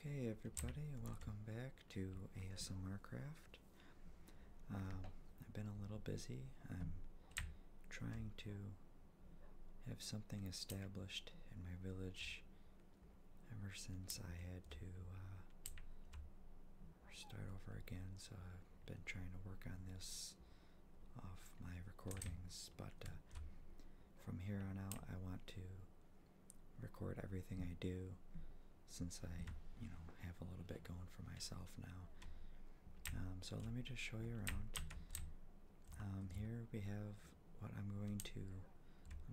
Okay, everybody, welcome back to ASMR Craft. Um, I've been a little busy. I'm trying to have something established in my village ever since I had to uh, start over again, so I've been trying to work on this off my recordings, but uh, from here on out, I want to record everything I do since I, you know, have a little bit going for myself now. Um, so let me just show you around. Um, here we have what I'm going to,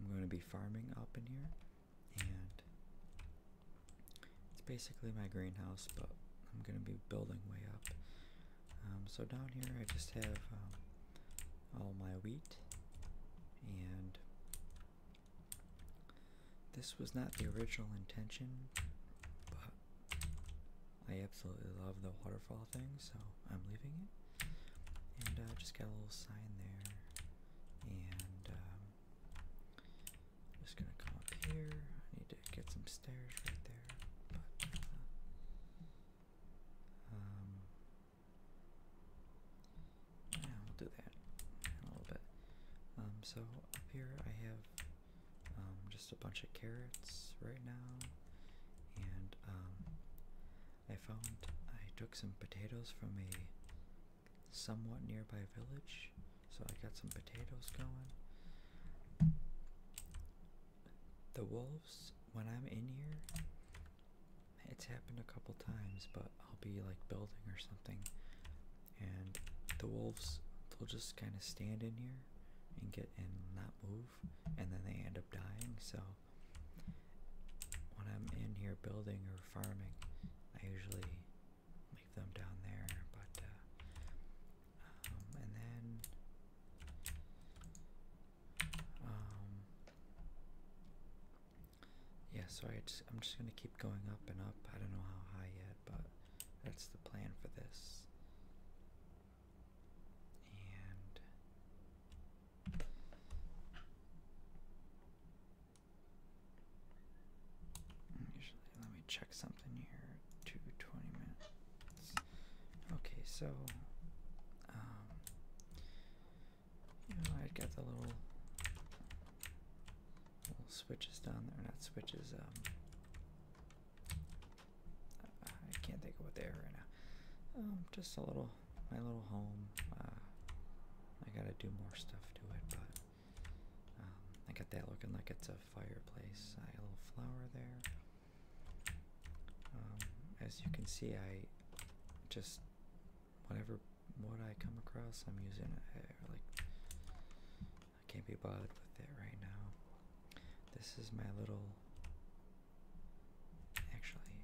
I'm going to be farming up in here, and it's basically my greenhouse, but I'm going to be building way up. Um, so down here I just have um, all my wheat, and this was not the original intention, but I absolutely love the waterfall thing, so I'm leaving it. And I uh, just got a little sign there, and um, I'm just gonna come up here. I need to get some stairs right there, uh, um, yeah, we'll do that a little bit. Um, so up here I have um, just a bunch of carrots right now, and I found I took some potatoes from a somewhat nearby village. So I got some potatoes going. The wolves, when I'm in here, it's happened a couple times, but I'll be like building or something, and the wolves, they'll just kind of stand in here and get and not move, and then they end up dying. So when I'm in here building or farming, I usually them down there, but uh, um, and then um, yeah, so I I'm just gonna keep going up and up. I don't know how high yet, but that's the plan for this. And mm, usually let me check something here to minutes. Okay, so um, you I got the little switches down there, not switches. Um, I can't think of what they are right now. Um, just a little, my little home. Uh, I gotta do more stuff to it, but um, I got that looking like it's a the fireplace. A little flower there. Um, as you can see, I just whatever what I come across, I'm using it. Uh, like I can't be bothered with it right now. This is my little. Actually,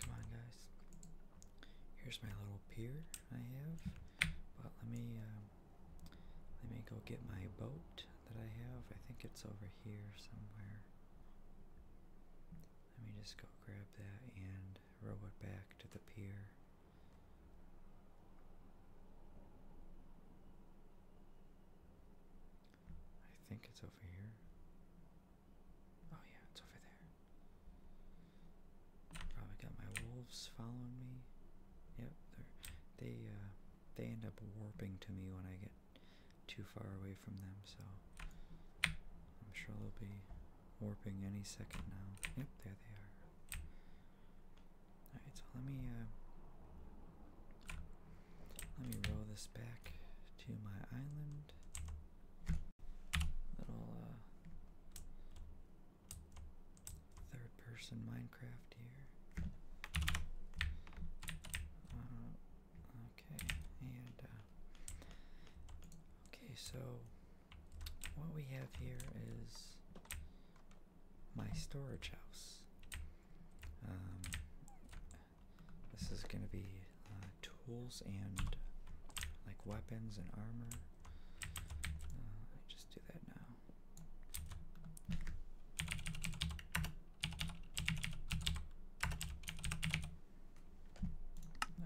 come on, guys. Here's my little pier I have, but let me uh, um, let me go get my boat that I have. I think it's over here somewhere. Let me just go grab that and row it back to the pier. I think it's over here. Oh yeah, it's over there. Probably got my wolves following me. Yep, they uh, they end up warping to me when I get too far away from them. So I'm sure they'll be warping any second now. Yep, there they are. All right, so let me uh, let me roll this back to my island. Little uh, third person Minecraft here. Uh, okay, and uh, okay, so what we have here is my storage house. Um, this is going to be uh, tools and like weapons and armor do that now.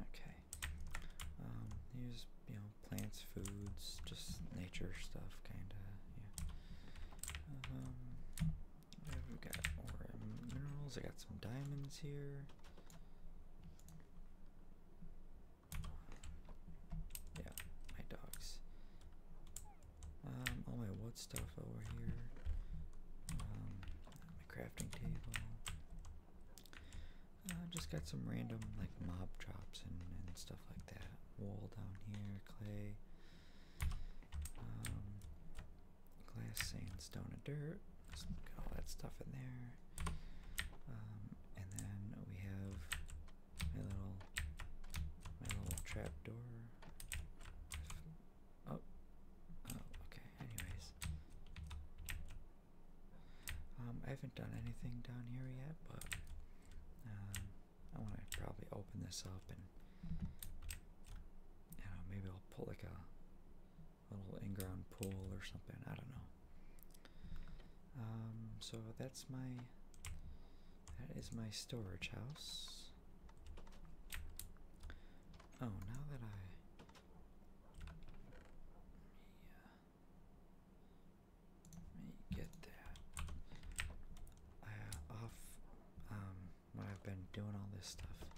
Okay. use um, you know plants, foods, just nature stuff, kind of. Um, yeah. we've got minerals. I got some diamonds here. Yeah, my dogs. Um, all my wood stuff over here. Um, my crafting table. I uh, just got some random like mob drops and, and stuff like that. Wool down here, clay, um, glass, sandstone, and dirt. Just got all that stuff in there. Um, and then we have my little my little trap door. Oh, oh, okay. Anyways, um, I haven't done anything down here yet, but um, I want to probably open this up and you know maybe I'll pull like a, a little in-ground pool or something. I don't know. Um, so that's my that is my storage house. Oh, now that I let me get that uh, off. Um, when I've been doing all this stuff,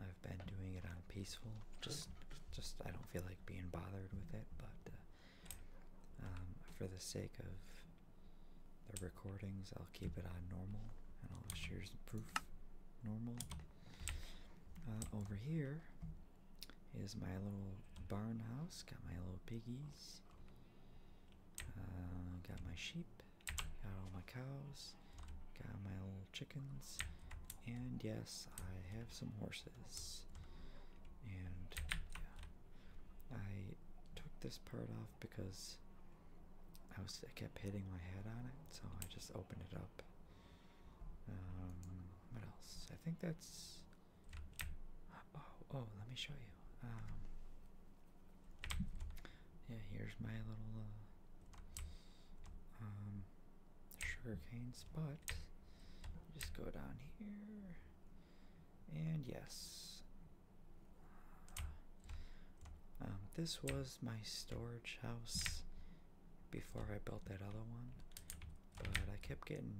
I've been doing it on peaceful. Just, just I don't feel like being bothered with it, but. Uh, um, for the sake of the recordings, I'll keep it on normal and I'll share some proof normal. Uh, over here is my little barn house. Got my little piggies. Uh, got my sheep. Got all my cows. Got my little chickens. And yes, I have some horses. And yeah, I took this part off because I was I kept hitting my head on it, so I just opened it up. Um, what else? I think that's. Oh, oh let me show you. Um, yeah, here's my little. Uh, um, sugar canes, but just go down here and yes. Um, this was my storage house before I built that other one, but I kept getting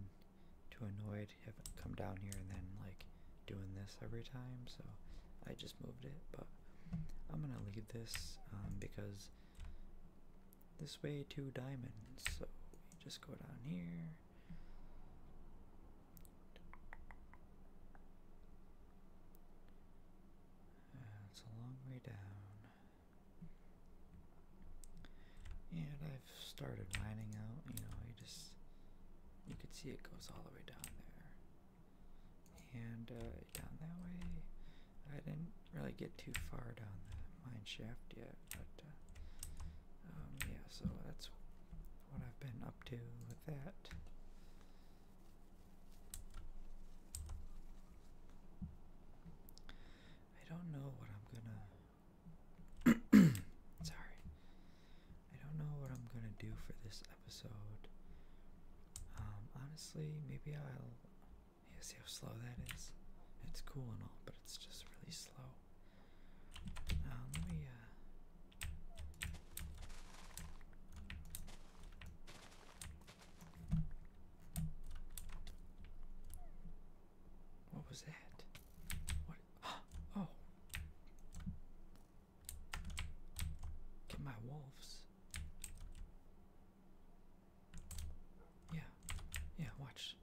too annoyed having come down here and then like doing this every time, so I just moved it. But I'm gonna leave this um, because this way to diamonds. So we just go down here. Uh, it's a long way down. And I've started mining out, you know, you just you can see it goes all the way down there. And uh, down that way, I didn't really get too far down the mine shaft yet, but uh, um, yeah, so that's what I've been up to with that. I don't know what I'm gonna. Sorry. I don't know what I'm gonna do for this episode. Um, honestly, maybe I'll you see how slow that is? It's cool and all, but it's just really slow. Uh, let me, uh, What was that? What? Oh! my wolves. Yeah, yeah, watch.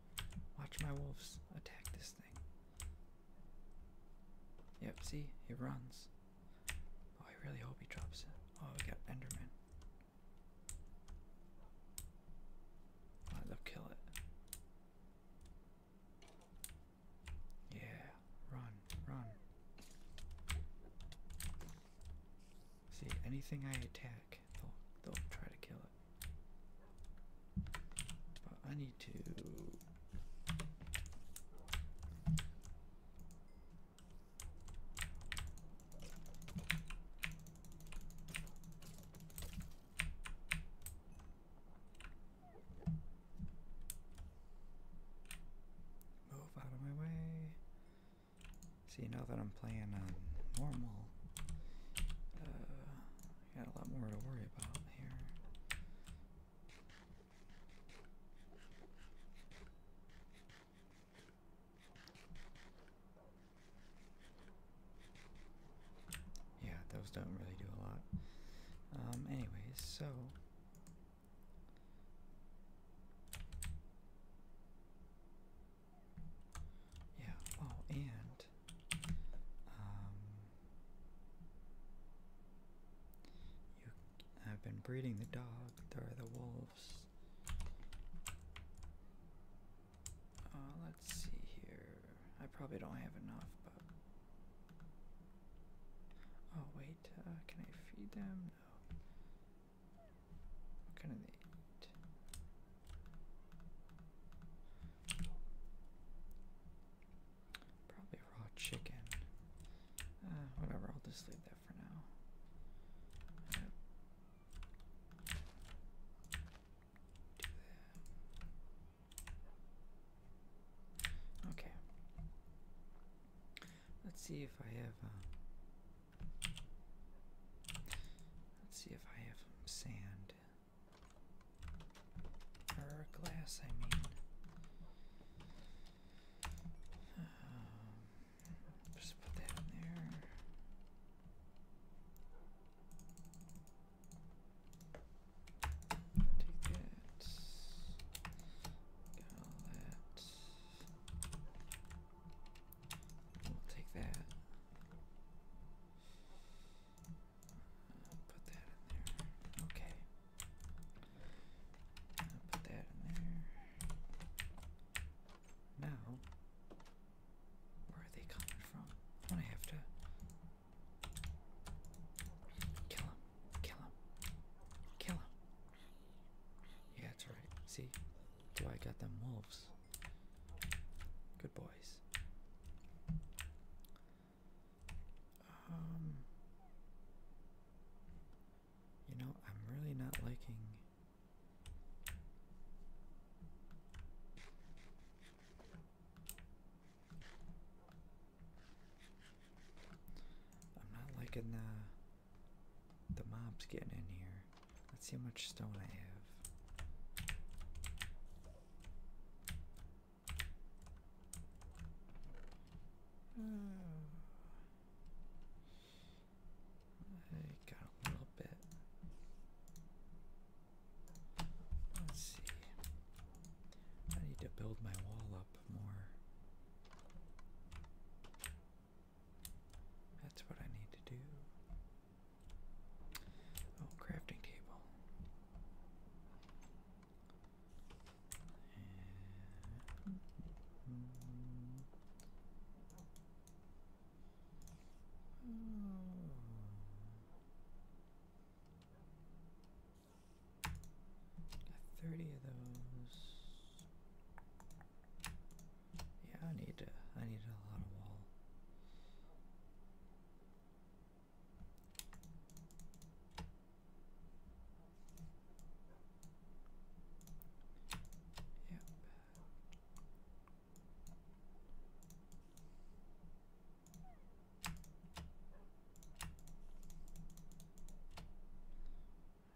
Watch my wolves attack this thing. Yep, see? He runs. Oh, I really hope he drops it. Oh, we got Enderman. they'll kill it. Yeah, run, run. See, anything I attack, they'll, they'll try to kill it. But I need to move out of my way. See, now that I'm playing on um, normal, uh, got a lot more to worry about here. Yeah, those don't really do a lot. Um, anyways, so. Yeah, oh, and um, you have been breeding the dog, there are the wolves. Uh, let's see here. I probably don't have enough, but. Oh, wait, uh, can I feed them? No. What can they eat? Probably raw chicken. Uh, whatever, I'll just leave that for now. Okay. Let's see if I have. Uh, Let's see if I have sand glass, I mean. Um, just put that in there. Take that. Get all that. take that i put that in there. Okay. put that in there. Now, where are they coming from? I'm gonna have to kill him, kill him, kill him. Yeah, that's right. See, do I got them wolves? Good boys. Um, you know, I'm really not liking. I'm not liking the the mobs getting in here. Let's see how much stone I have. Hmm. I got a little bit. Let's see. I need to build my wall up more. That's what I need to do. Oh, crafting table. And... Thirty of those. Yeah, I need to. I need a lot of wall. Yep.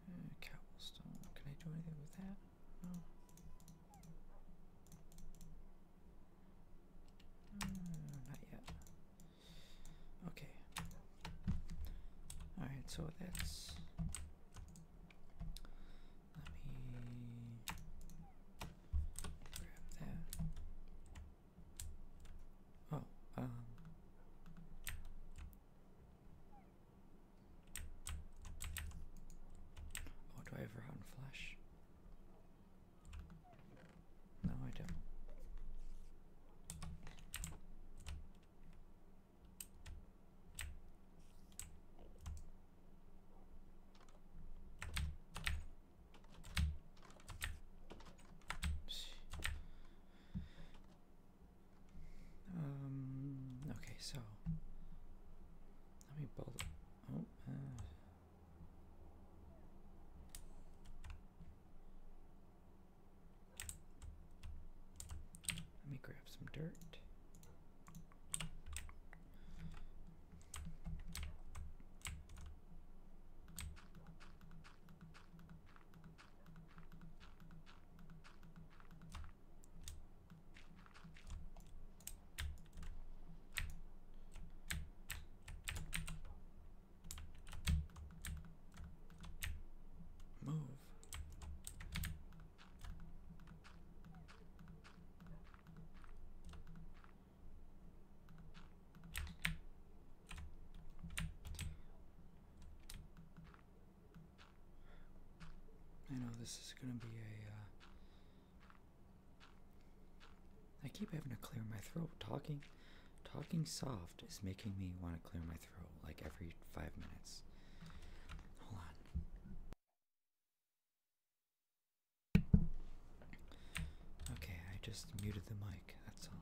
Hmm, cobblestone. Can I do anything with that? Hmm, not yet. Okay. Alright, so that's. Let me grab that. Oh, um, Oh, do I have round flash? No, I don't. Um. Okay, so let me build. Oh, uh, let me grab some dirt. Move. I know this is going to be a uh, I keep having to clear my throat. Talking talking soft is making me want to clear my throat like every 5 minutes. Hold on. Okay, I just muted the mic. That's all.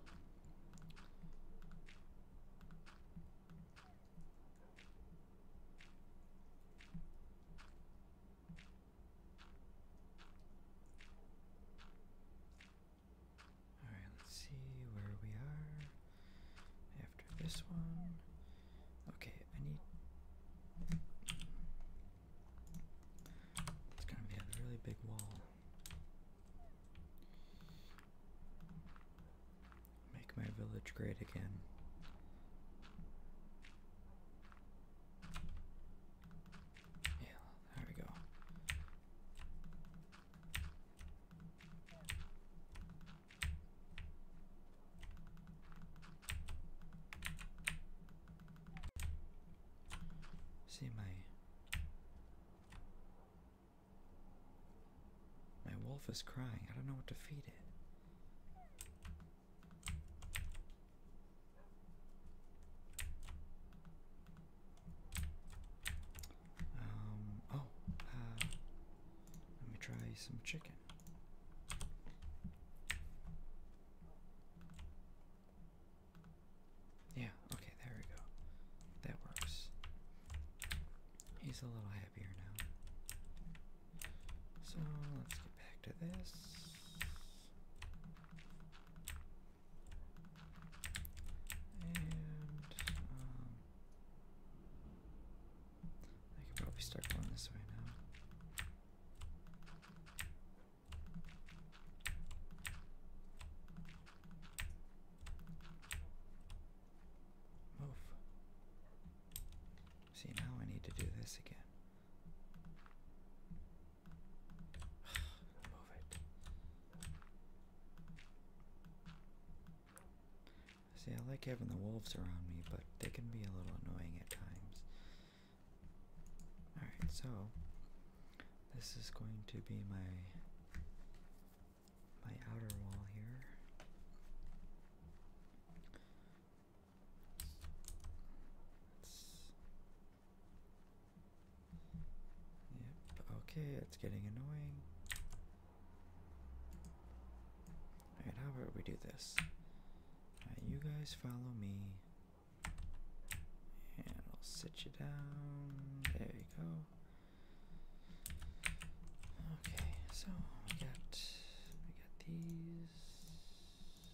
Alright, let's see where we are after this one. Okay, I need. It's gonna be a really big wall. Make my village great again. Yeah, there we go. See my my wolf is crying. I don't know what to feed it. Um, oh, uh, let me try some chicken. Yeah, okay, there we go. That works. He's a little happier now. So let's get back to this. And um, I could probably start going this way now. Move. See, now I need to do this again. Move it. See, I like having the wolves around me, but they can be a little annoying at times. Alright, so this is going to be my my outer wall here. Yep, okay, it's getting annoying. Alright, how about we do this? you guys follow me. And I'll sit you down. There you go. Okay, so we got we got these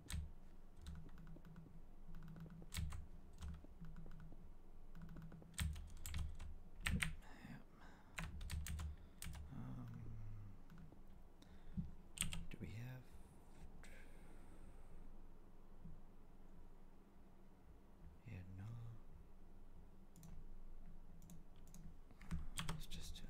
Um, do we have? Yeah, no. Let's just do that.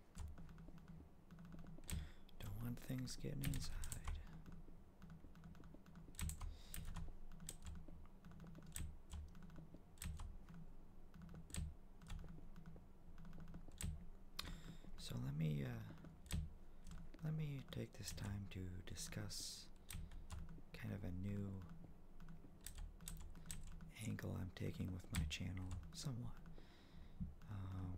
Don't want things getting inside. So let me uh, let me take this time to discuss kind of a new angle I'm taking with my channel somewhat. Um,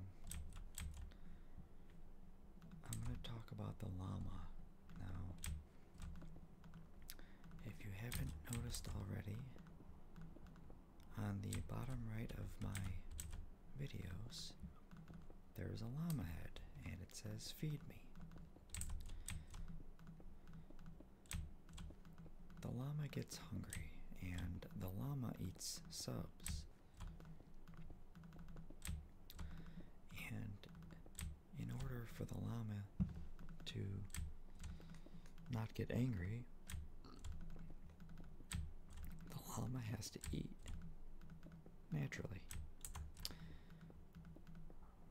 I'm going to talk about the llama now. If you haven't noticed already, on the bottom right of my videos, there's a llama head and it says feed me. The llama gets hungry and the llama eats subs. And in order for the llama to not get angry, the llama has to eat naturally.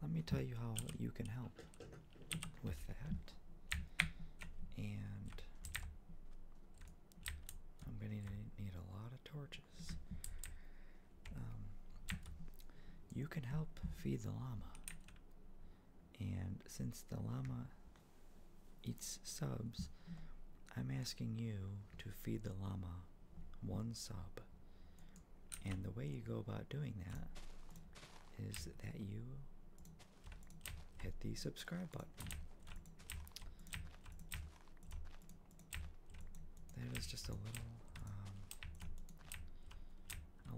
Let me tell you how you can help with that. And I'm going to need a lot of torches. Um, you can help feed the llama. And since the llama eats subs, I'm asking you to feed the llama one sub. And the way you go about doing that is that you hit the subscribe button. That is just a little, um,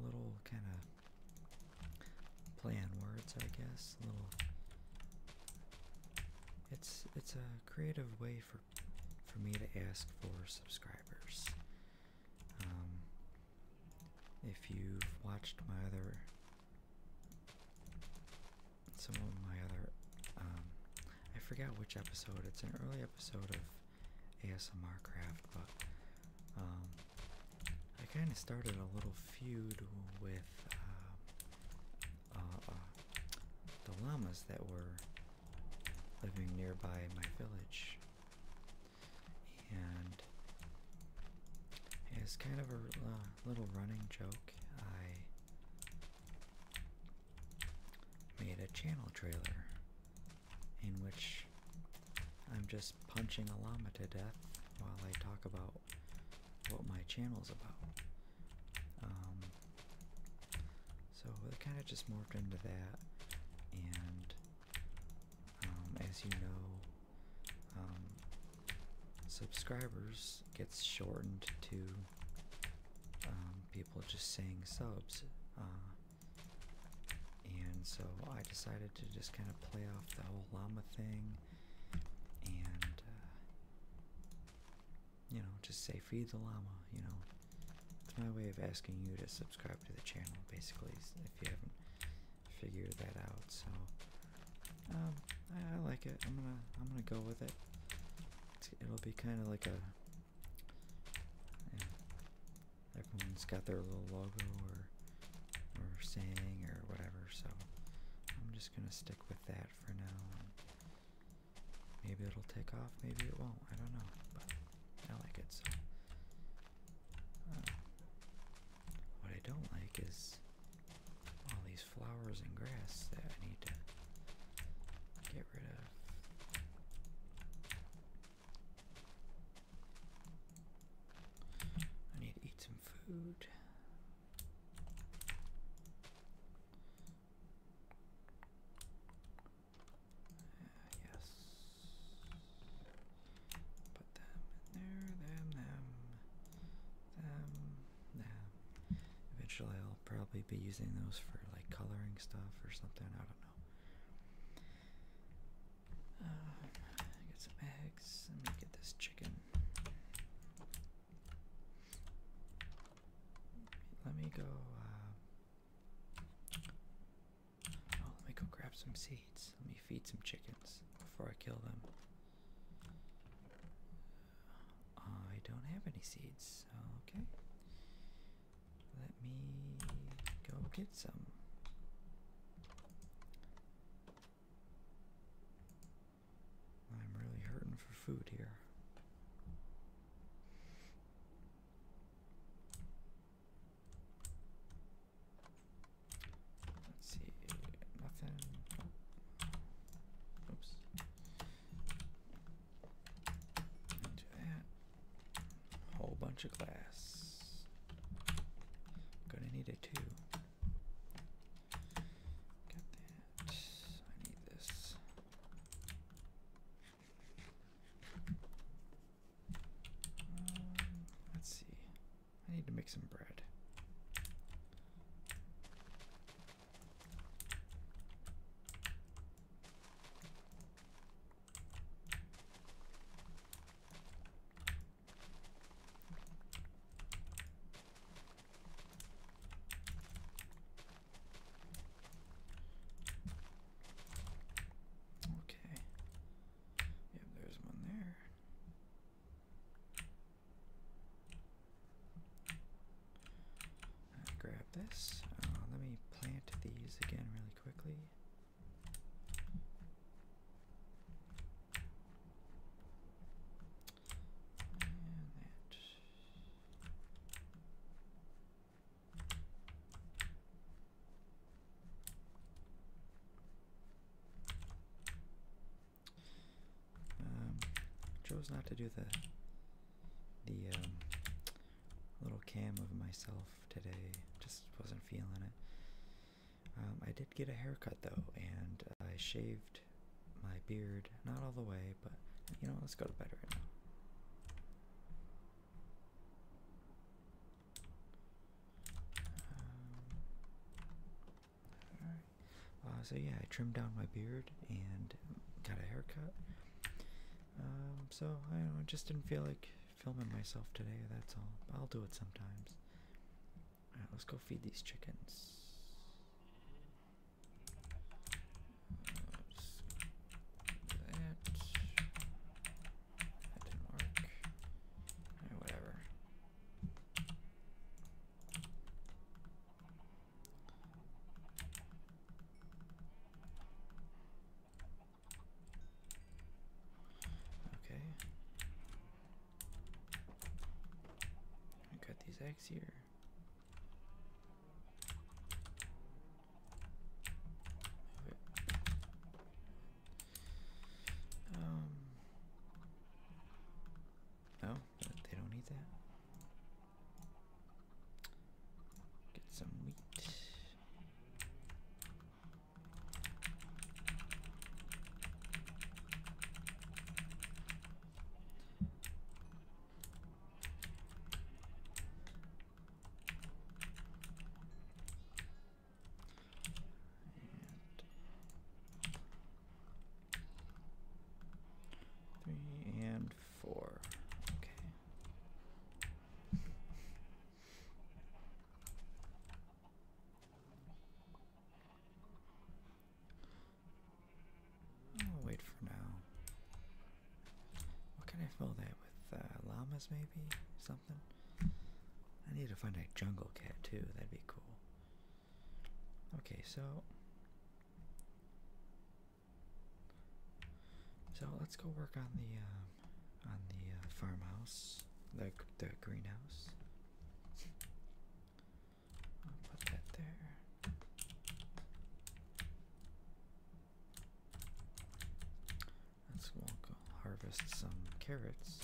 a little kind of play on words, I guess. little. It's it's a creative way for for me to ask for subscribers. Um, if you've watched my other, some of my other, um, I forget which episode. It's an early episode of ASMR Craft, but um, I kind of started a little feud with uh, uh, uh, the llamas that were living nearby my village and it's kind of a uh, little running joke. I made a channel trailer in which I'm just punching a llama to death while I talk about what my channel is about. Um, so it kind of just morphed into that, and um, as you know, um, subscribers gets shortened to um, people just saying subs. Uh, and so I decided to just kind of play off the whole llama thing and, uh, you know, just say feed the llama, you know. It's my way of asking you to subscribe to the channel, basically, if you haven't figure that out. So um, I, like it. I'm gonna I'm gonna go with it. it'll be kind of like a yeah, everyone's got their little logo or or saying or whatever. So I'm just gonna stick with that for now. Maybe it'll take off. Maybe it won't. I don't know. But I like it so. Uh, what I don't like is all these flowers and grass that I need to get rid of. I need to eat some food. Uh, yes. Put them in there, them, them, them, them. Eventually I'll probably be using those for like coloring stuff or something, I don't know. Uh, get some eggs, let me get this chicken. Let me go, uh, oh, let me go grab some seeds. Let me feed some chickens before I kill them. I don't have any seeds. Okay. Let me go get some. I'm really hurting for food here. Let's see, nothing. Oops. Do that. Whole bunch of glass. Gonna need it too. Got that. I need this. Um, let's see. I need to make some bread. Okay. Yep, there's one there grab this. Uh, let me plant these again really quickly. And that. Um, chose not to do the the um, little cam of myself today. Just wasn't feeling it. Um, I did get a haircut though, and I shaved my beard. Not all the way, but you know, let's go to bed right now. Um, uh, so yeah, I trimmed down my beard and got a haircut. Um, so I don't know, I just didn't feel like filming myself today, that's all. I'll do it sometimes. let's go feed these chickens. That. didn't work. whatever. Okay. I got these eggs here. Um, no, they don't need that. Get some wheat. And three and four. Okay. wait for now. What can I fill that with? Uh, llamas, maybe? Something? I need to find a jungle cat, too. That'd be cool. Okay, so so let's go work on the uh, on the uh, farmhouse, like the greenhouse. I'll put that there. Let's walk harvest some carrots.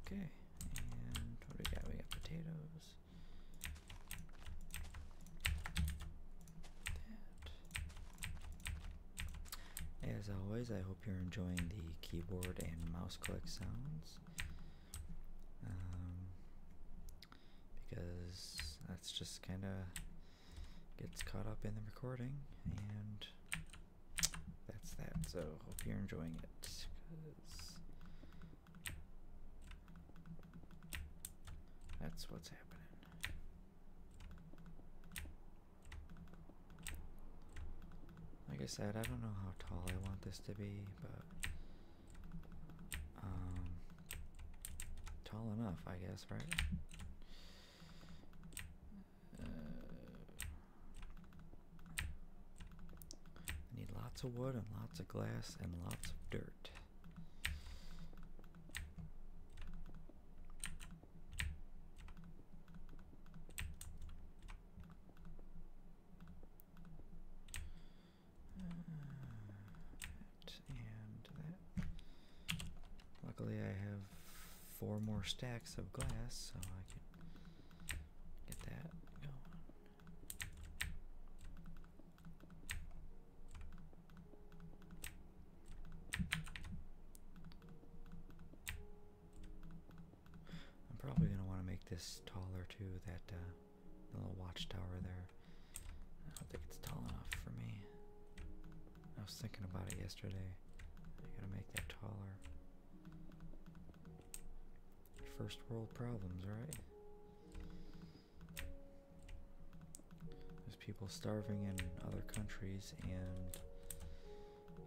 Got that. Okay, and what do we got? We got potatoes. As always, I hope you're enjoying the keyboard and mouse click sounds. Um, because that's just kind of gets caught up in the recording, and that's that. So, hope you're enjoying it. Cause that's what's happening. Like I said, I don't know how tall I want this to be, but um, tall enough, I guess, right? Uh, I need lots of wood and lots of glass and lots of dirt. Uh, and that. Luckily, I have four more stacks of glass, so I can get that going. I'm probably going to want to make this taller too, that uh, little watchtower there. I don't think it's tall enough for me. I was thinking about it yesterday. I gotta make that taller. First world problems, right? There's people starving in other countries, and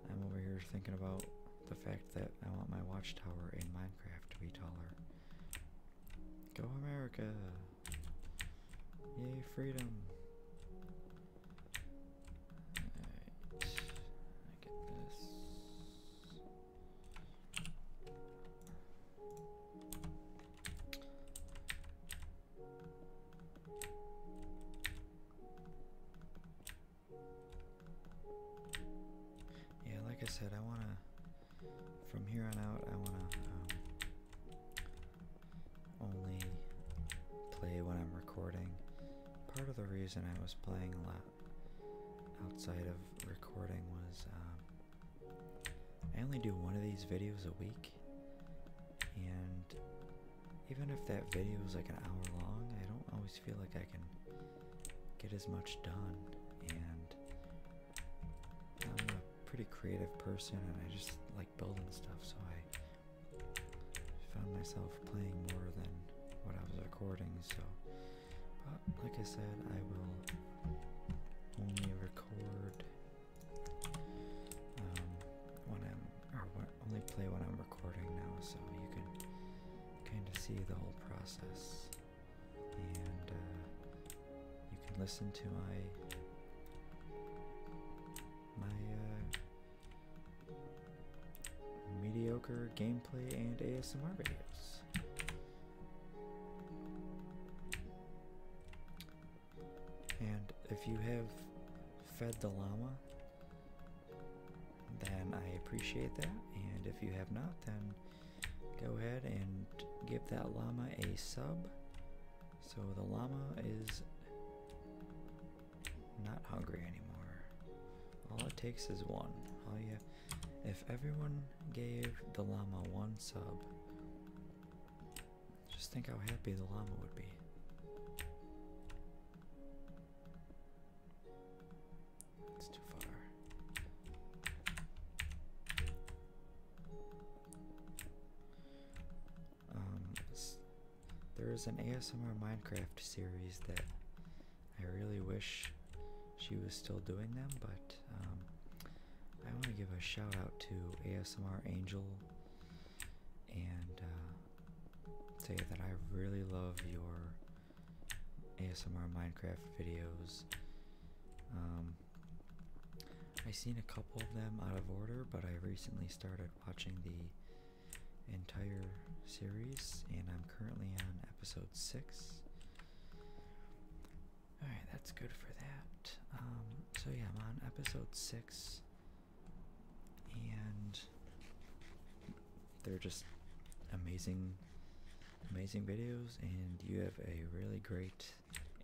I'm over here thinking about the fact that I want my watchtower in Minecraft to be taller. Go America! Yay, freedom! Alright, I get this. Yeah, like I said, I want to, from here on out, I want to um, only play when I'm recording. Part of the reason I was playing a lot outside of recording was um, I only do one of these videos a week, and even if that video is like an hour long, I don't always feel like I can get as much done. And I'm a pretty creative person, and I just like building stuff, so I found myself playing more than what I was recording, so but like I said, I will only record um, when I'm or only play when I'm recording now, so you can kind of see the whole process, and uh, you can listen to my my uh, mediocre gameplay and ASMR videos. And if you have fed the llama, then I appreciate that. And if you have not, then go ahead and give that llama a sub. So the llama is not hungry anymore. All it takes is one. All you if everyone gave the llama one sub, just think how happy the llama would be. It's too far. Um, there is an ASMR Minecraft series that I really wish she was still doing them, but um, I want to give a shout out to ASMR Angel and say uh, that I really love your ASMR Minecraft videos. Um, I've seen a couple of them out of order, but I recently started watching the entire series, and I'm currently on episode 6. All right, that's good for that. Um, so yeah, I'm on episode six, and they're just amazing, amazing videos, and you have a really great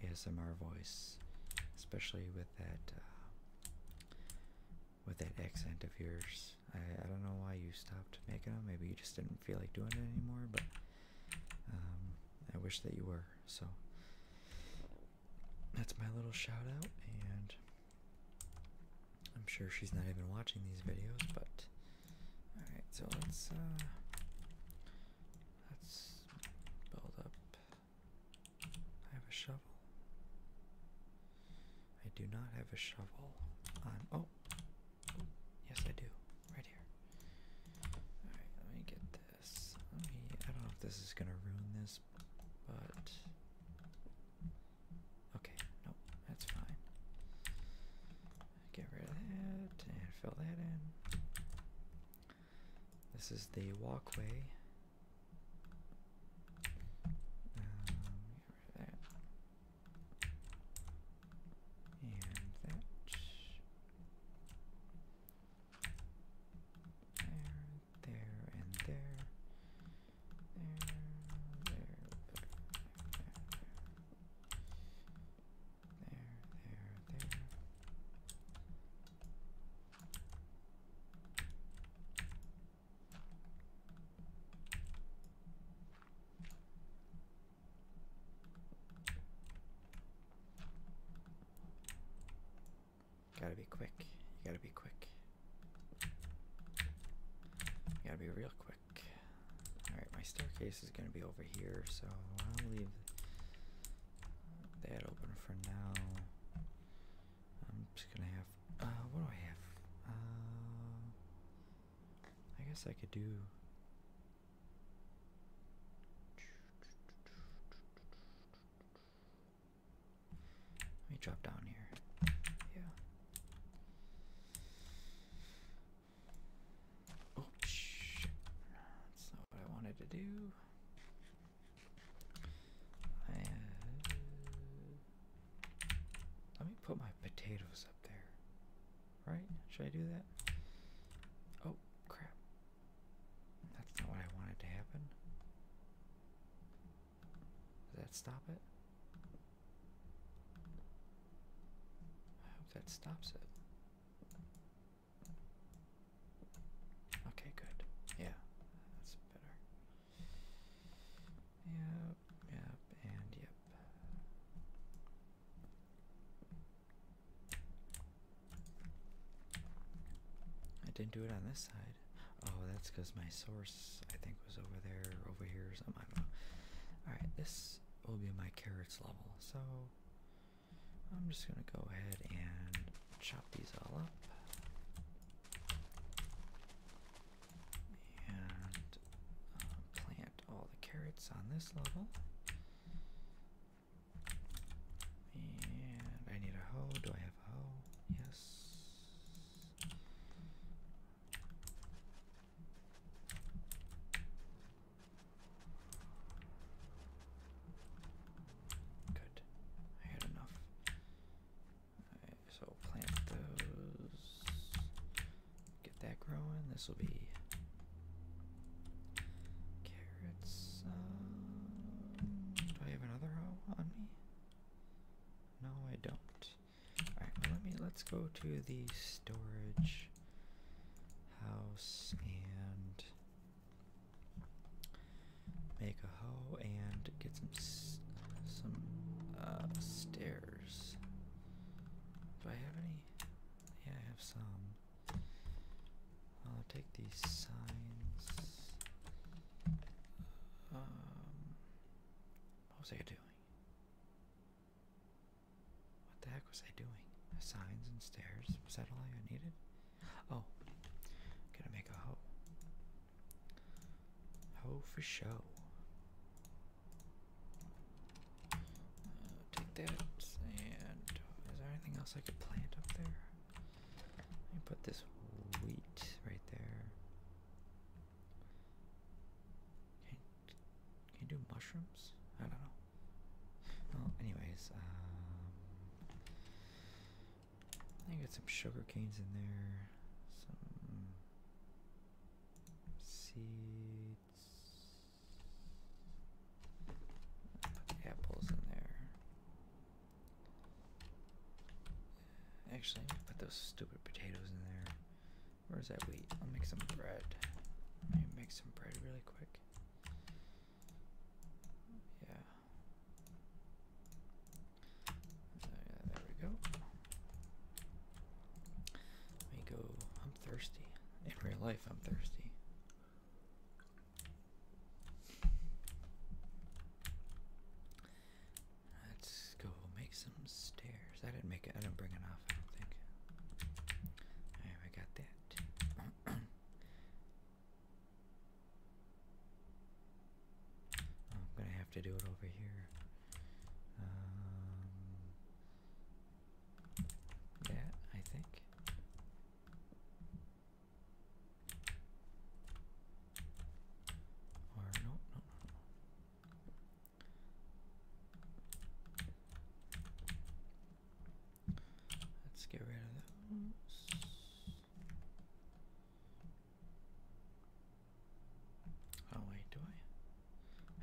ASMR voice, especially with that uh, with that accent of yours. I I don't know why you stopped making them. Maybe you just didn't feel like doing it anymore, but um, I wish that you were. So that's my little shout out, and I'm sure she's not even watching these videos, but alright, so let's uh let's build up I have a shovel. I do not have a shovel oh Yes, I do. Right here. Alright, let me get this. Let me. I don't know if this is gonna ruin this, but. Okay, nope, that's fine. Get rid of that and fill that in. This is the walkway. Um, get and that. There, there, and there. There, there, there, there, there. There, there, there. Gotta be quick. You gotta be quick. You gotta be real quick. Alright, my staircase is gonna be over here, so I'll leave that open for now. I'm just gonna have. Uh, what do I have? Uh, I guess I could do. Let me drop down here. Yeah. Oh That's not what I wanted to do. Uh, let me put my potatoes up there. Right? Should I do that? Oh, crap. That's not what I wanted to happen. Does that stop it? I hope that stops it. Okay, good. Yeah, that's better. Yep, yep, and yep. I didn't do it on this side. Oh, that's because my source, I think, was over there, over here, I don't know. Alright, this will be my carrots level. So, I'm just going to go ahead and chop these all up. And um, plant all the carrots on this level. And I need a hoe. Do I have a hoe? Yes. Good. I had enough. Alright, so plant those. Get that growing. This will be carrots. Uh, do I have another hoe on me? No, I don't. All right, let me let's go to the storage house and make a hoe and get some some uh, stairs. Do I have any? Yeah, I have some. I'll take these signs. Um, what was I doing? What the heck was I doing? Signs and stairs. Was that all I needed? Oh, gonna make a hoe. Hoe for show. Uh, take that, and is there anything else I could plant up there? Let me put this wheat right there. Can, can you do mushrooms? I don't know. Well, anyways, um, I got some sugar canes in there, some seeds apples in there. Actually, put those stupid potatoes in there. Where's that wheat? I'll make some bread. Let me make some bread really quick. Yeah. Oh, there we go. Let me go I'm thirsty. In real life, I'm thirsty. Let's go make some stairs. I didn't make it. I didn't bring enough. I think. I got that. Oh, I'm gonna have to do it over here. Um, that, I think. Or no, no, no, Let's get rid of those. Oh wait, do I?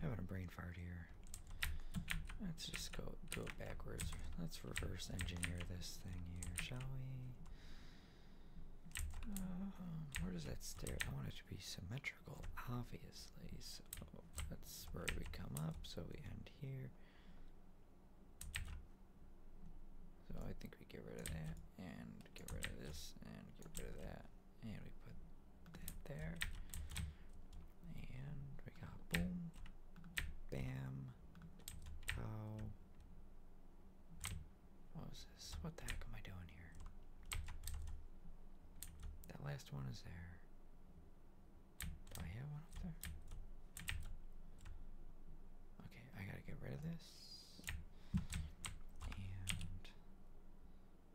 having a brain fart here. Let's just go do it backwards. Let's reverse engineer this thing here, shall we? Um, where does that stair? I want it to be symmetrical, obviously. So that's where we come up. So we end here. So I think we get rid of that, and get rid of this, and get rid of that, and we put that there. And we got boom, bam, pow. What was this? What the heck am I doing here? That last one is there. Do I have one up there? Okay, I gotta get rid of this.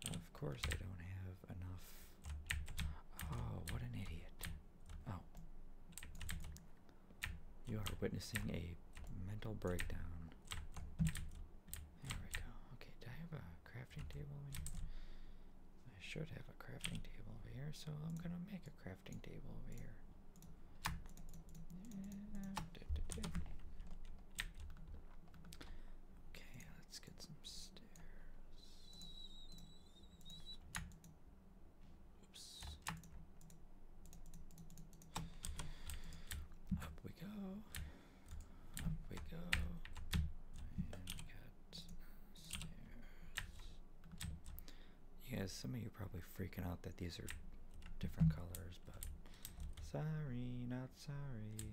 And of course I don't have enough Oh, what an idiot. Oh. You are witnessing a mental breakdown. There we go. Okay, do I have a crafting table I should have a crafting table over here, so I'm gonna make a crafting table over here. Okay, let's get some stairs. Up we go. Up we go. And we got stairs. You some of you are probably freaking out that these are different colors, but sorry, not sorry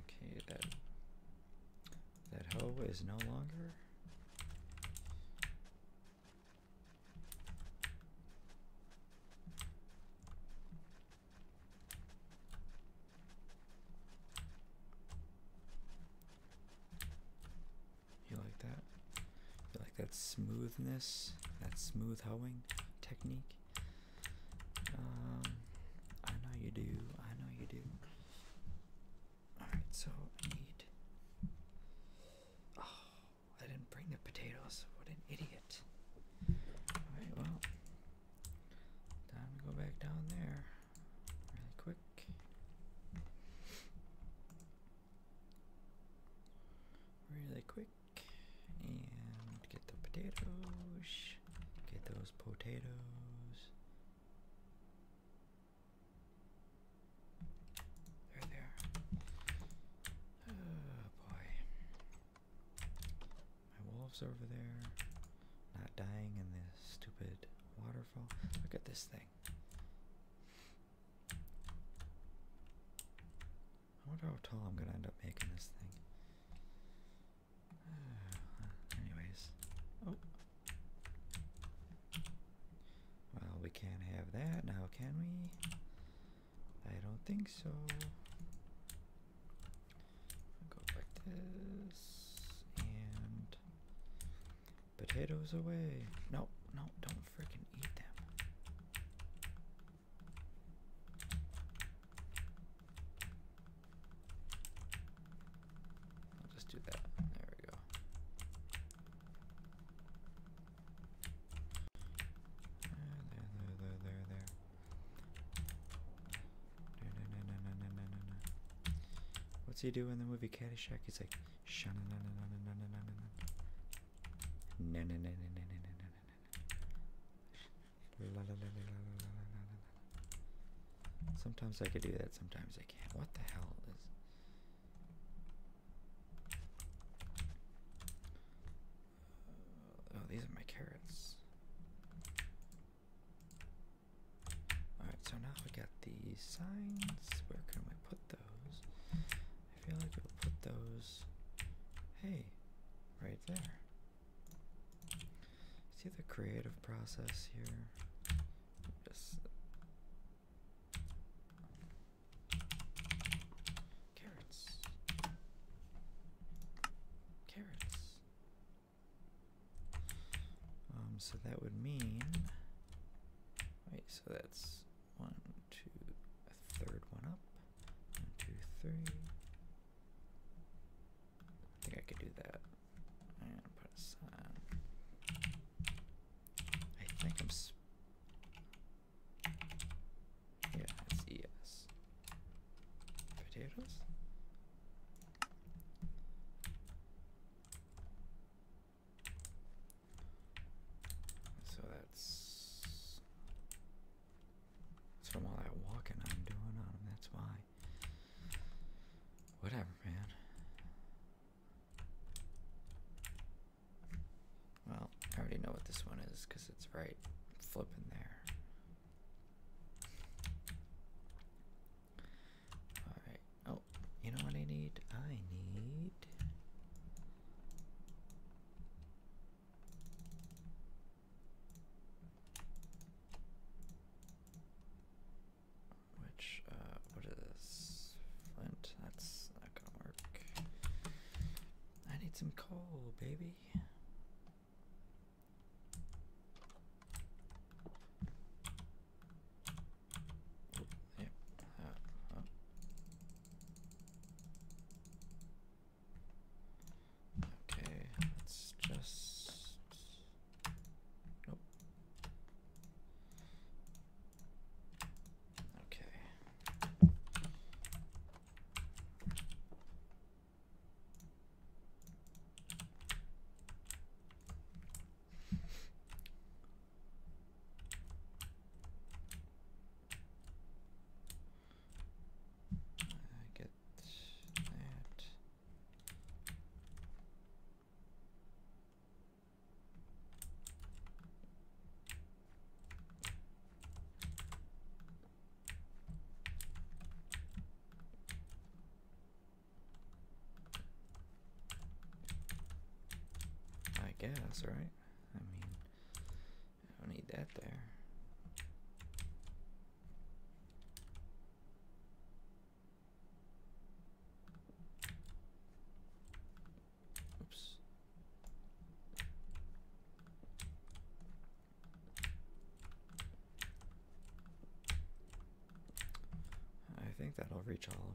okay, that that hoe is no longer. You like that? You like that smoothness, that smooth hoeing technique? Um, I know you do. I know you do. Alright, so I Oh, I didn't bring the potatoes. What an idiot. Alright, well. Time to go back down there. Really quick. Really quick. And get the potatoes. Get those potatoes. There they are. Oh boy. My wolves over there. Not dying in this stupid waterfall. Look at this thing. I wonder how tall I'm gonna end up making this thing. Anyways, oh. Well, we can't have that now, can we? I don't think so. Go like this and potatoes away. No, no, don't freaking eat them. I'll just do that. There we go. There, there, there, there, there. No, no, no, no, no, no, no, no. What's he do in the movie Caddyshack? He's like, na na na na na na na na na na na na na na na Sometimes I could do that, sometimes I can't. What the hell is. Oh, these are my carrots. Alright, so now we got these signs. Where can we put those? I feel like we'll put those. Hey, right there. See the creative process here. carrots, carrots. Um, so that would mean. Wait, so that's one, two, a third one up, one, two, three, I think I could do that. And put a I think I'm. Yeah, it's ES. Potatoes? So That's from all that walking I'm doing on them, that's why. Whatever, man. Well, I already know what this one is because it's right flipping there. Alright. Oh, you know what I need? I need. Which, uh, what is Flint? That's not gonna work. I need some coal, baby. Yep. Uh, uh. Okay, let's just. Okay. I get that. I guess, right? I mean, I don't need that there. Oops. I think that'll reach all of them.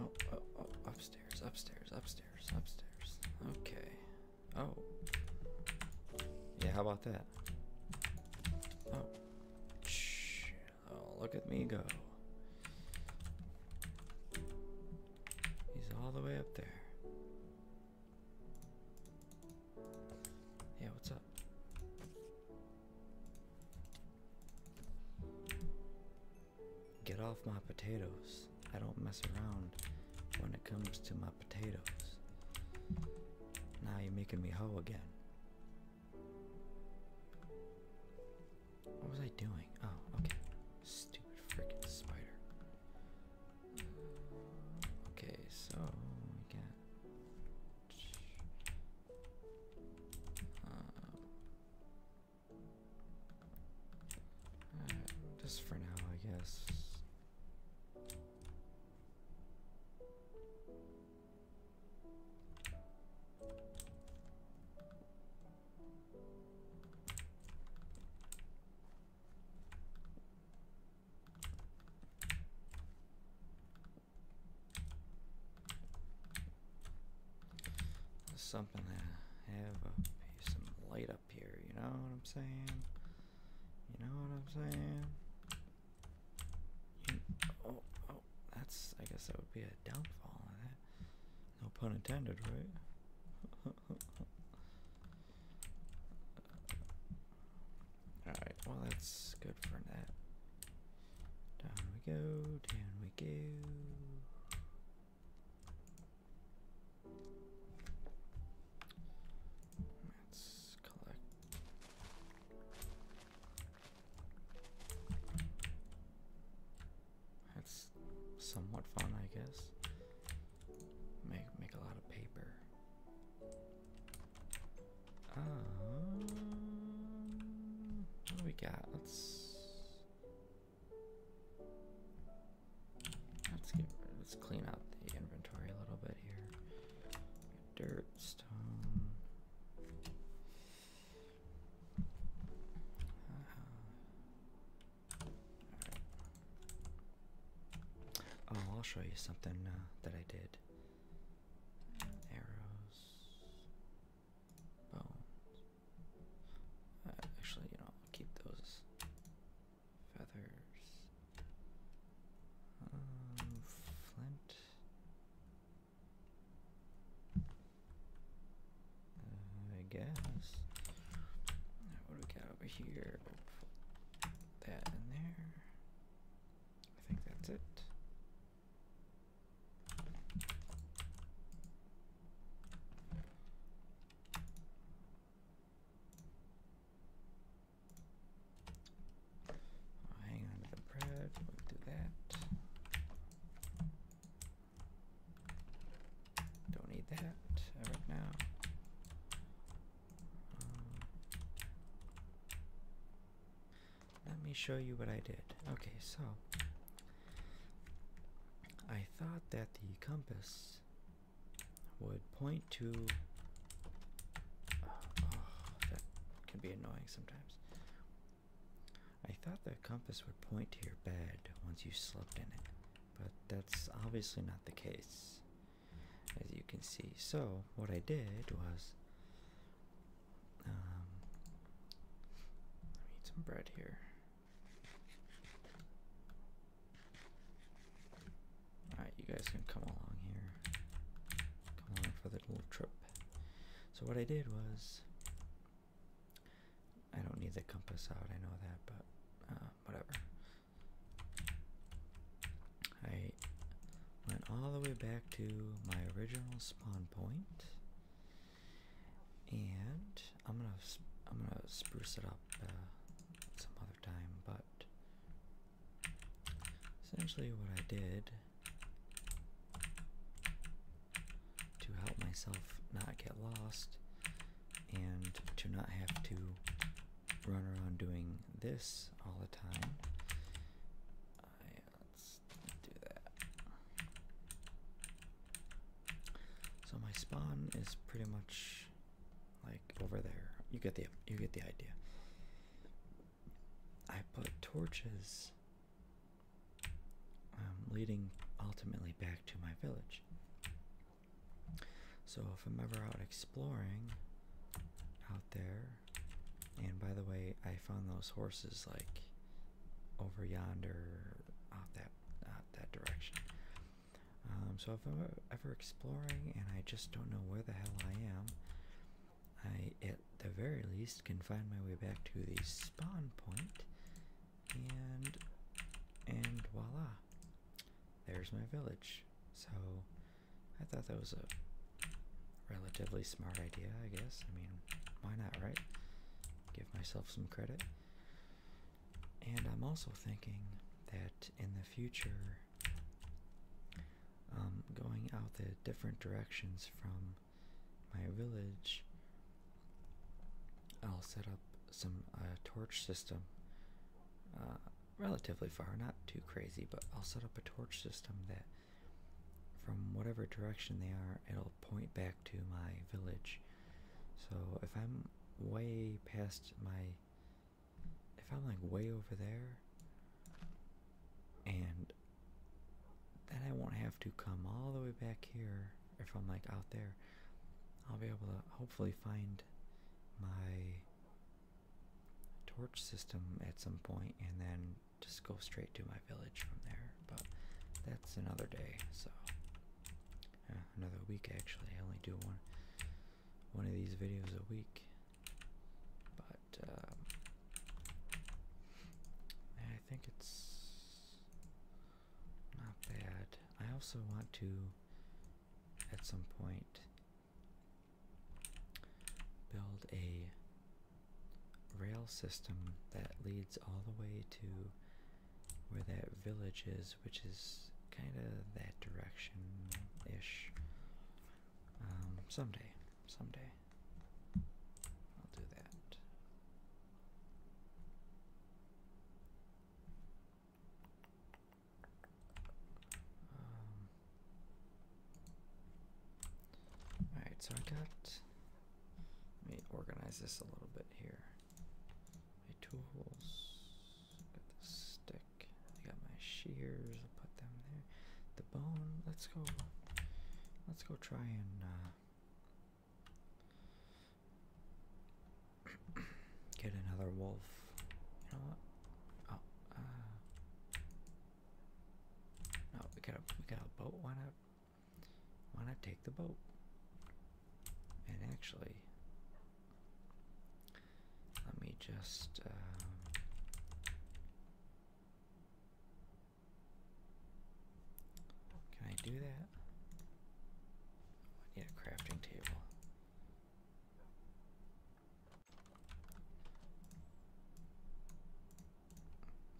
Oh, oh, oh, upstairs, upstairs, upstairs, upstairs. Okay. Oh. Yeah, how about that? Oh. Shh. Oh, look at me go. He's all the way up there. Yeah, what's up? Get off my potatoes. I don't mess around when it comes to my potatoes. Now you're making me hoe again. What was I doing? Oh, okay. Stupid freaking spider. Okay, so we got. Uh, just for now, I guess something to have a, some light up here, you know what I'm saying? You know what I'm saying? oh, oh, that's, I guess that would be a downfall of that. No pun intended, right? Alright, well that's good for that. Down we go, down we go. Let's collect. That's somewhat fun, I guess. Make make a lot of paper. Um, what do we got? Let's Let's clean out the inventory a little bit here. Dirt, stone. Uh, oh, I'll show you something uh, that I did. Arrows. Uh, actually, you know, I'll keep those feathers. Uh, flint. Uh, I guess. What do we got over here? That in there. I think that's it. Oh, hang on to the bread, do that. Don't need that right now. Um, let me show you what I did. Okay, so I thought that the compass would point to. Oh, that can be annoying sometimes. I thought the compass would point to your bed once you slept in it, but that's obviously not the case, as you can see. So, what I did was um, let me eat some bread here. Alright, you guys can come along here. Come along for the little trip. So, what I did was. I don't need the compass out, I know that, but uh, whatever. I went all the way back to my original spawn point and I'm gonna I'm gonna spruce it up uh, some other time, but essentially what I did to help myself not get lost and to not have to run around doing this all the time. So my spawn is pretty much like over there. You get the you get the idea. I put torches um, leading ultimately back to my village. So if I'm ever out exploring out there, and by the way, I found those horses like over yonder, out that that direction. Um, so if I'm ever exploring and I just don't know where the hell I am, I at the very least can find my way back to the spawn point, and and voila, there's my village. So I thought that was a relatively smart idea, I guess. I mean, why not, right? give myself some credit. And I'm also thinking that in the future, um, going out the different directions from my village, I'll set up some uh, torch system. Uh, relatively far, not too crazy, but I'll set up a torch system that from whatever direction they are, it'll point back to my village. So if I'm way past my if I'm like way over there and then I won't have to come all the way back here if I'm like out there I'll be able to hopefully find my torch system at some point and then just go straight to my village from there, but that's another day. So another week actually. I only do one one of these videos a week, but um, I think it's not bad. I also want to at some point build a rail system that leads all the way to where that village is, which is kind of that direction-ish. Um, someday, someday, I'll do that. Um, alright, so I got let me organize this a little bit here. My tools, got the stick, I got my shears, I'll put them there. The bone, let's go, let's go try and uh, get another wolf. You know what? Oh, uh, we got a, we got a boat Why not? why not take the boat? And actually, let me just. Uh, can I do that? I need a crafting table.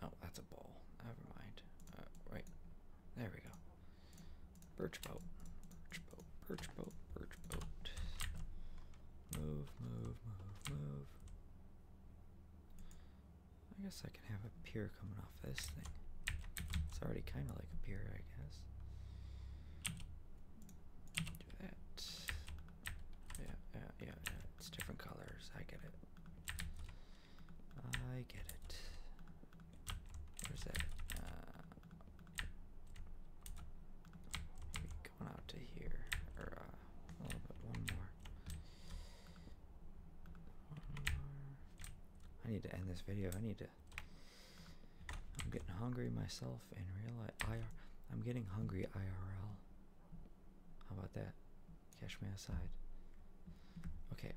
Oh, that's a ball. Never mind. Uh, right. There we go. Birch boat. Birch boat. Birch boat. Birch boat. Move, move, move, move. I guess I can have a pier coming off this thing. It's already kind of like a pier, I guess. Do that. Yeah, yeah, yeah, yeah. It's different colors. I get it. I get it. Where's that? Uh, going out to here, or uh, One more. One more. I need to end this video. I need to. I'm getting hungry myself in real life. I'm getting hungry IRL. How about that? Catch me outside. Okay.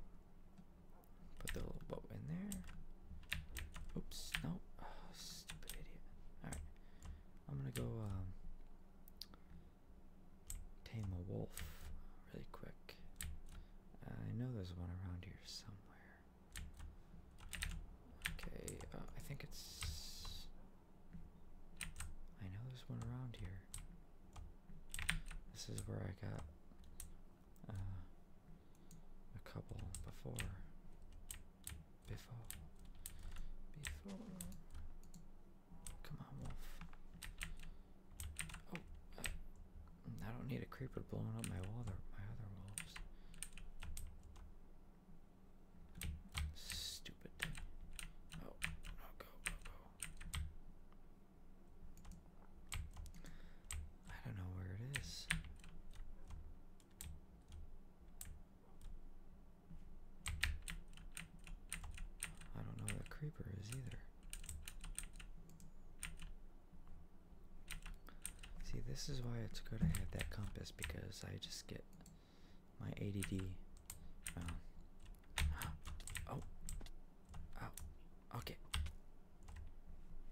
Put the little boat in there. Oops, no. Oh, stupid idiot. Alright. I'm gonna go um, tame a wolf really quick. I know there's one around here somewhere. Okay, uh, I think it's. I know there's one around here. This is where I got uh, a couple before. Before. Before. Come on, wolf. Oh, I, uh, I don't need a creeper blowing up my wall. There, my other wolves. Stupid thing. Oh, oh, go, go, go. I don't know where it is. I don't know where the creeper is either. See, this is why it's good I have that compass because I just get my ADD. Um, oh, Oh, okay.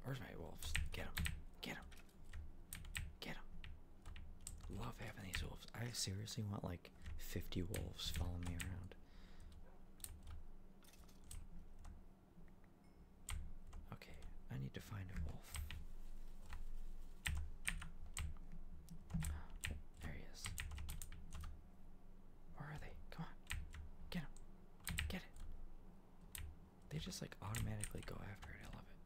Where's my wolves? Get them. Get them. Get them. Love having these wolves. I seriously want like 50 wolves following me around. Okay, I need to find a wolf. There he is. Where are they? Come on. Get them. Get it. They just like automatically go after it. I love it.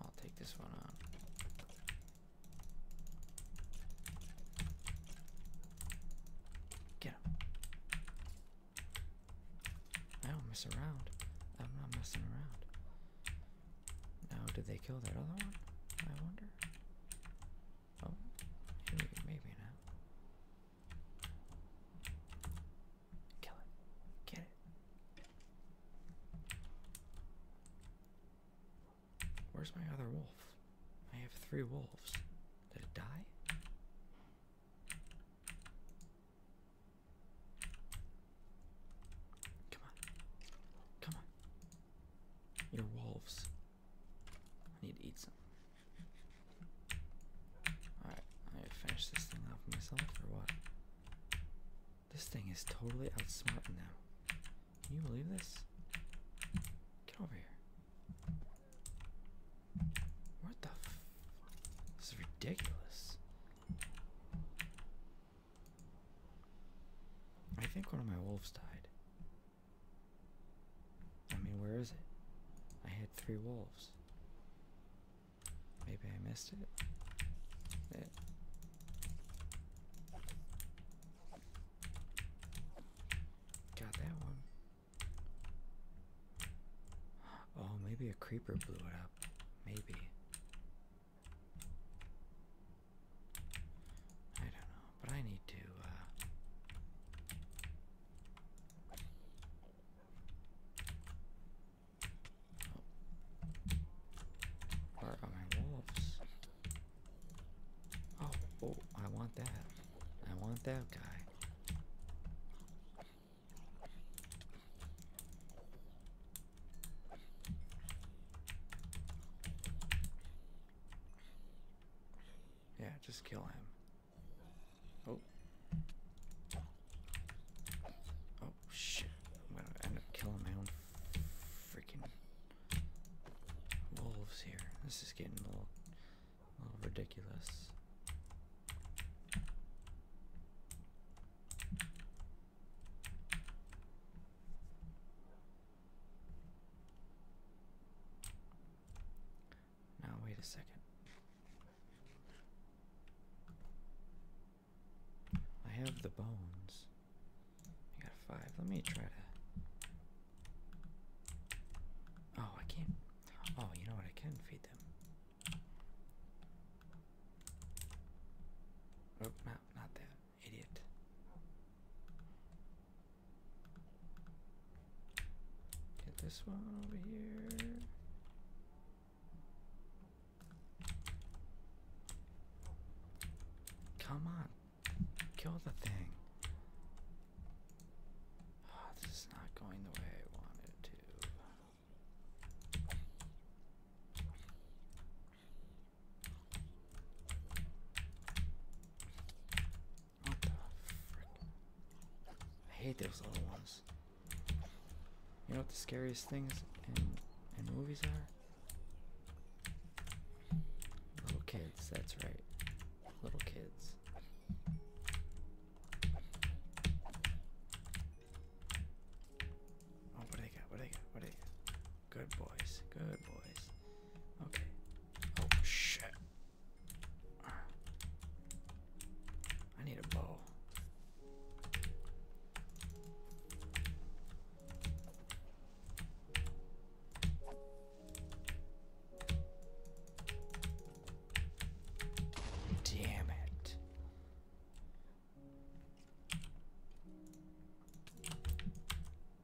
I'll take this one on. Get him. I don't mess around. I'm not messing around. Now, did they kill that other one? I wonder. Oh, maybe, maybe Kill it. Get it. Where's my other wolf? I have three wolves. Did it die? Come on. Come on. Your wolves. I need to eat some. Alright, I'm going finish this thing off myself or what? This thing is totally outsmarting now. Can you believe this? Get over here. What the f? This is ridiculous. I think one of my wolves died. I mean, where is it? I had three wolves. Maybe I missed it. it. Eh. Got that one. Oh, maybe a creeper blew it up. Maybe. I don't know, but I need to, uh, oh. Where are my wolves? Oh, oh, I want that. I want that guy. Yeah, just kill him. Oh. Oh, shit. I'm gonna end up killing my own freaking wolves here. This is getting a little, a little ridiculous. Now, wait a second. I have the bones. I got five. Let me try to. Oh, I can't. Oh, you know what? I can feed them. Oh, not, not that. Idiot. Get this one over here. Come on. Kill the thing. Ah, this is not going the way I wanted it to. What the frick? I hate those little ones. You know what the scariest things in, in movies are? Little kids, that's right. Little kids. Oh, what do they got? What do they got? What do they Good boys. Good boys. Okay. Oh shit. I need a bow. Damn it.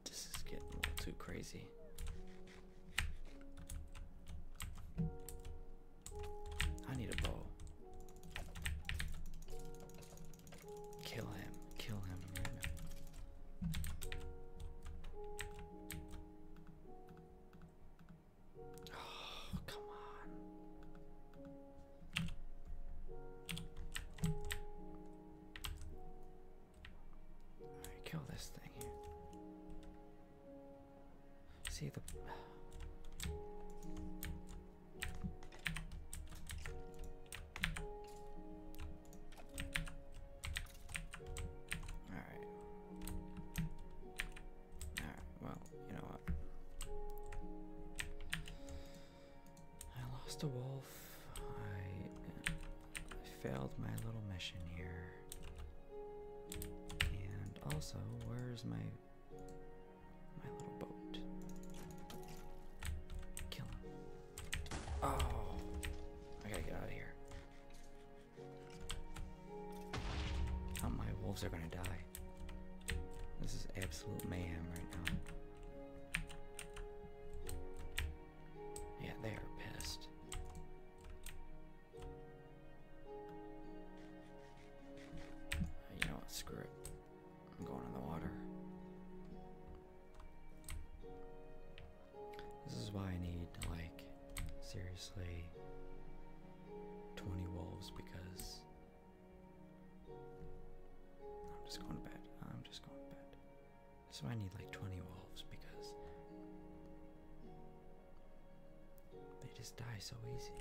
This is getting a little too crazy. I need a bow. Kill him. Kill him. Oh, come on kill this thing See the. Alright. Alright, well, you know what? I lost a wolf. I, failed my little mission here. And also, where's my my little boat? Kill him. Oh, I gotta get out of here. Oh, my wolves are gonna die. This is absolute mayhem right now. Yeah, they are pissed. Uh, you know what? Screw it. I'm going in the water. This is why I need, like, seriously 20 wolves because. I'm just going to bed. I'm just going to bed. So I need like 20 wolves because they just die so easy.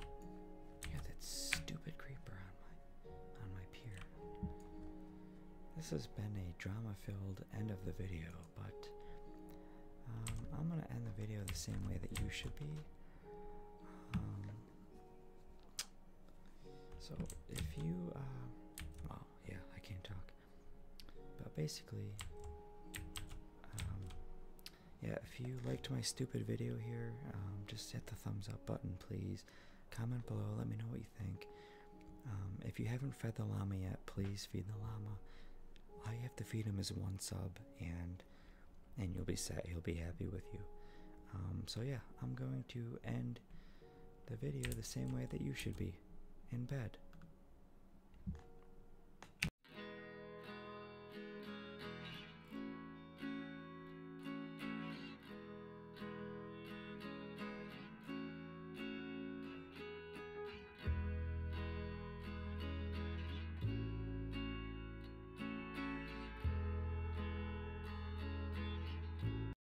Yeah, that stupid creeper on my on my pier. This has been a drama-filled end of the video, but um, I'm gonna end the video the same way that you should be. Um, so if you, uh, yeah, I can't talk. But basically, um, yeah, if you liked my stupid video here, um, just hit the thumbs up button, please. Comment below, let me know what you think. Um, if you haven't fed the llama yet, please feed the llama. All you have to feed him is one sub, and and you'll be set. He'll be happy with you. so yeah, I'm going to end the video the same way that you should be in bed.